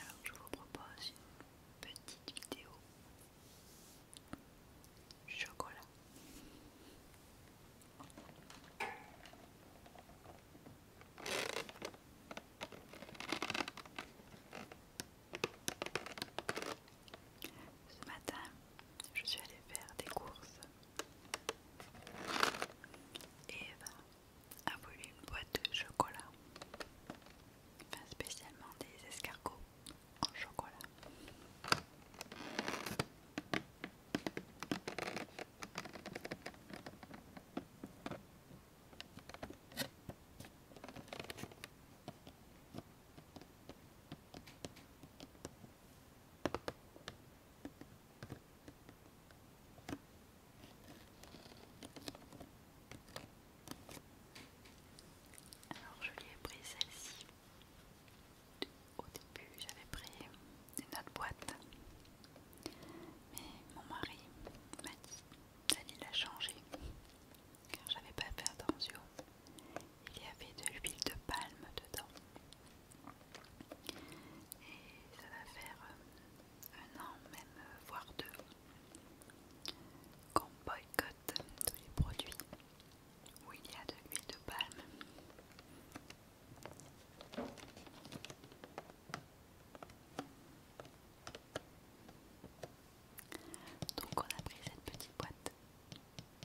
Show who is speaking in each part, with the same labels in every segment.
Speaker 1: Alors je vous propose une petite vidéo chocolat. Ce matin, je suis allée faire des courses Eva a voulu une boîte de chocolat,
Speaker 2: enfin spécialement des escargots en chocolat. Alors je lui ai pris celle-ci. Au début j'avais pris une autre boîte. Mais mon mari m'a dit, Dani l'a changé. Car j'avais pas fait attention. Il y avait de l'huile de palme dedans. Et ça va faire euh, un an, même euh, voire deux, qu'on boycotte tous les produits où il y a de l'huile de palme. Donc on a pris cette petite boîte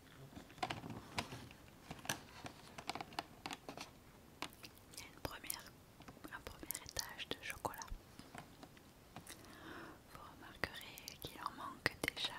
Speaker 2: Il y a première, un premier étage de chocolat. Vous remarquerez qu'il en manque déjà.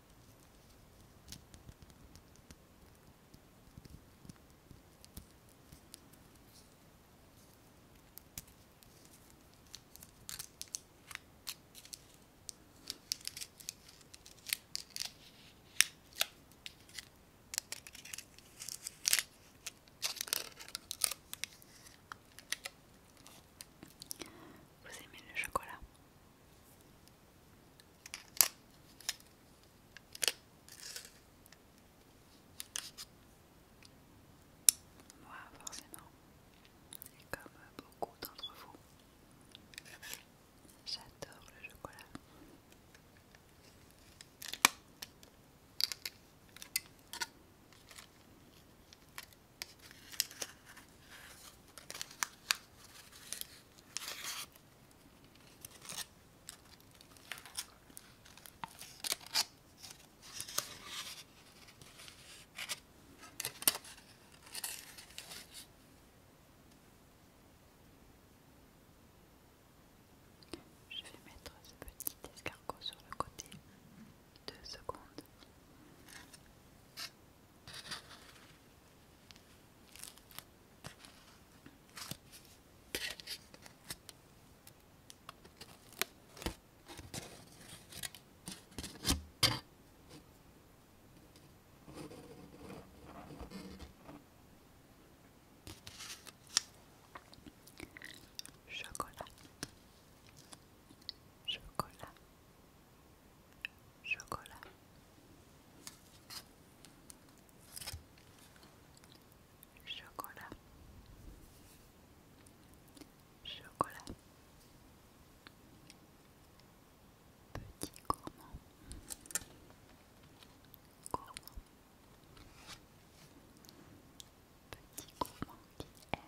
Speaker 2: Vous aimez le chocolat moi, forcément, et comme beaucoup d'entre vous, j'adore le chocolat. Je vais mettre ce petit escargot sur le côté deux secondes. Chocolat, chocolat, chocolat. Chocolat. Chocolat. Petit gourmand. Gourmand. Petit gourmand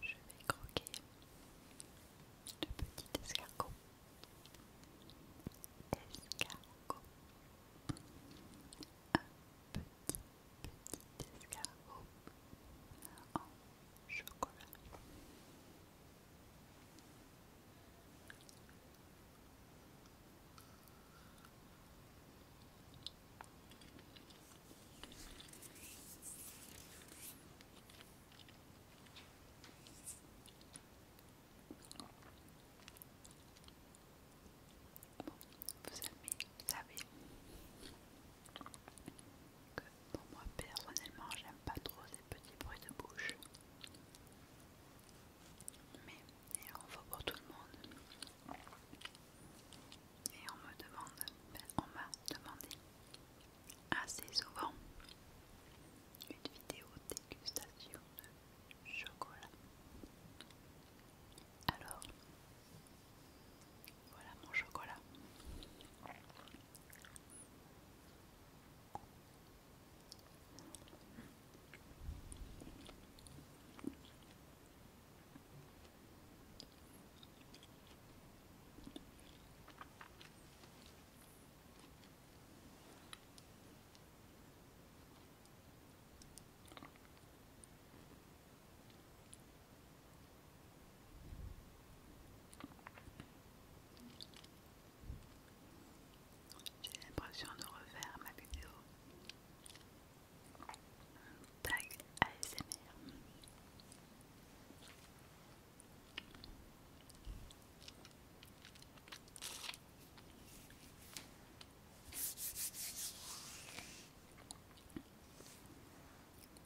Speaker 2: Je vais croquer le petit escargot. Escargot. Un petit, petit escargot en chocolat vous savez que pour moi personnellement j'aime pas trop ces petits bruits de bouche. Mais on va pour tout le monde et on me demande, ben, on m'a demandé assez souvent une vidéo dégustation de chocolat. Alors, voilà mon chocolat.
Speaker 3: J'ai l'impression de refaire ma vidéo Tag ASMR.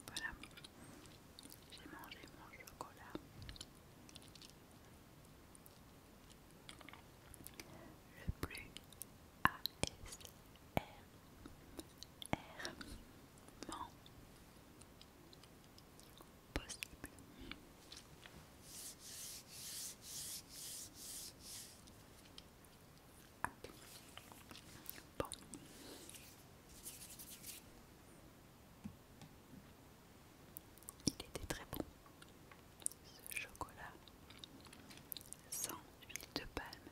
Speaker 3: Voilà, j'ai mangé mon chocolat. Le plus ASMR il était très bon ce chocolat sans huile de palme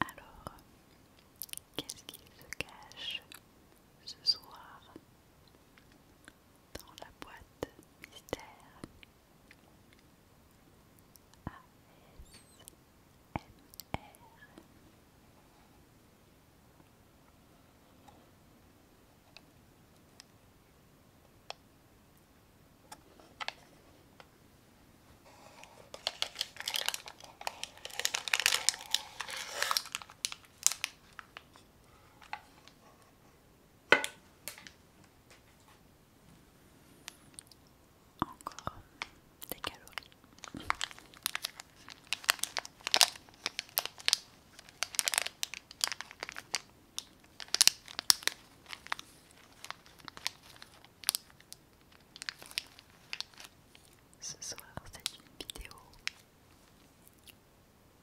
Speaker 1: Alors, qu'est-ce qu'il se cache ce soir dans la boîte mystère encore des calories. Ce soir, c'est une vidéo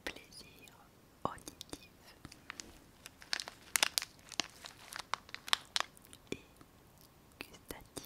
Speaker 1: plaisir auditif et gustatif.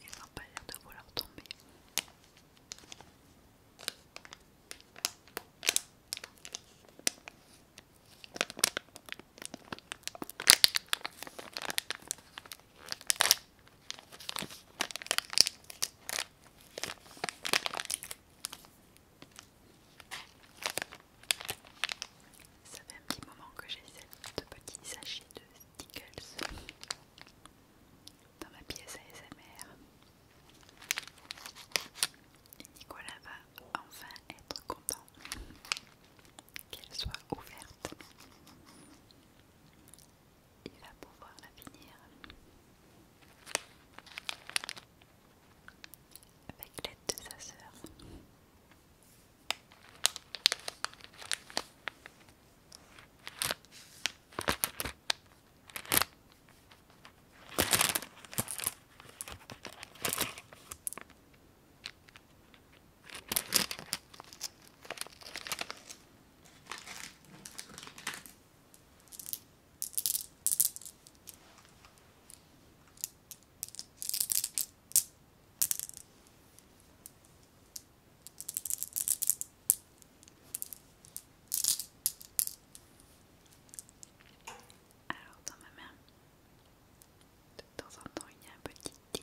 Speaker 1: Il n'a pas l'air de vouloir tomber. Ça fait un petit moment que j'ai de petits sachets de Stickles dans ma pièce ASMR. Et Nicolas va enfin être content qu'elle soit ouverte il va pouvoir la
Speaker 3: finir avec l'aide de sa sœur. Alors dans ma main, de temps en temps il y a un petit ting.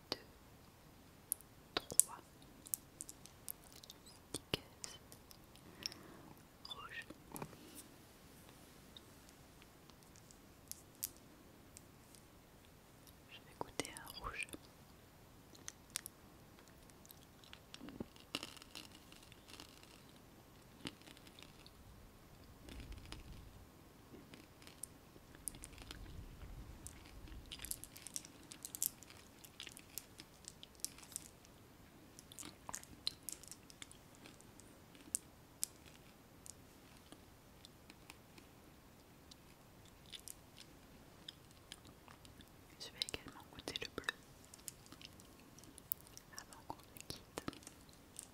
Speaker 3: 2, 3 Je vais goûter un rouge. Je vais également goûter le bleu avant qu'on se quitte.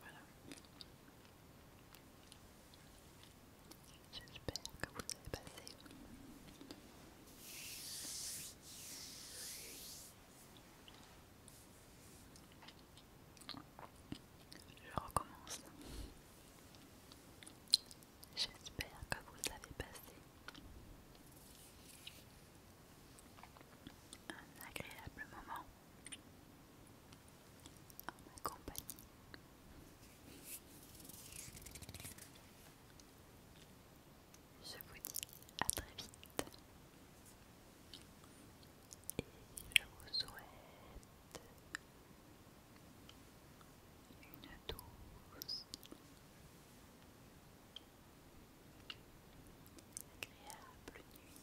Speaker 3: Voilà. J'espère que vous avez passé je recommence. J'espère que vous avez passé un agréable moment en ma compagnie je vous dis à très vite et je vous souhaite une douce agréable nuit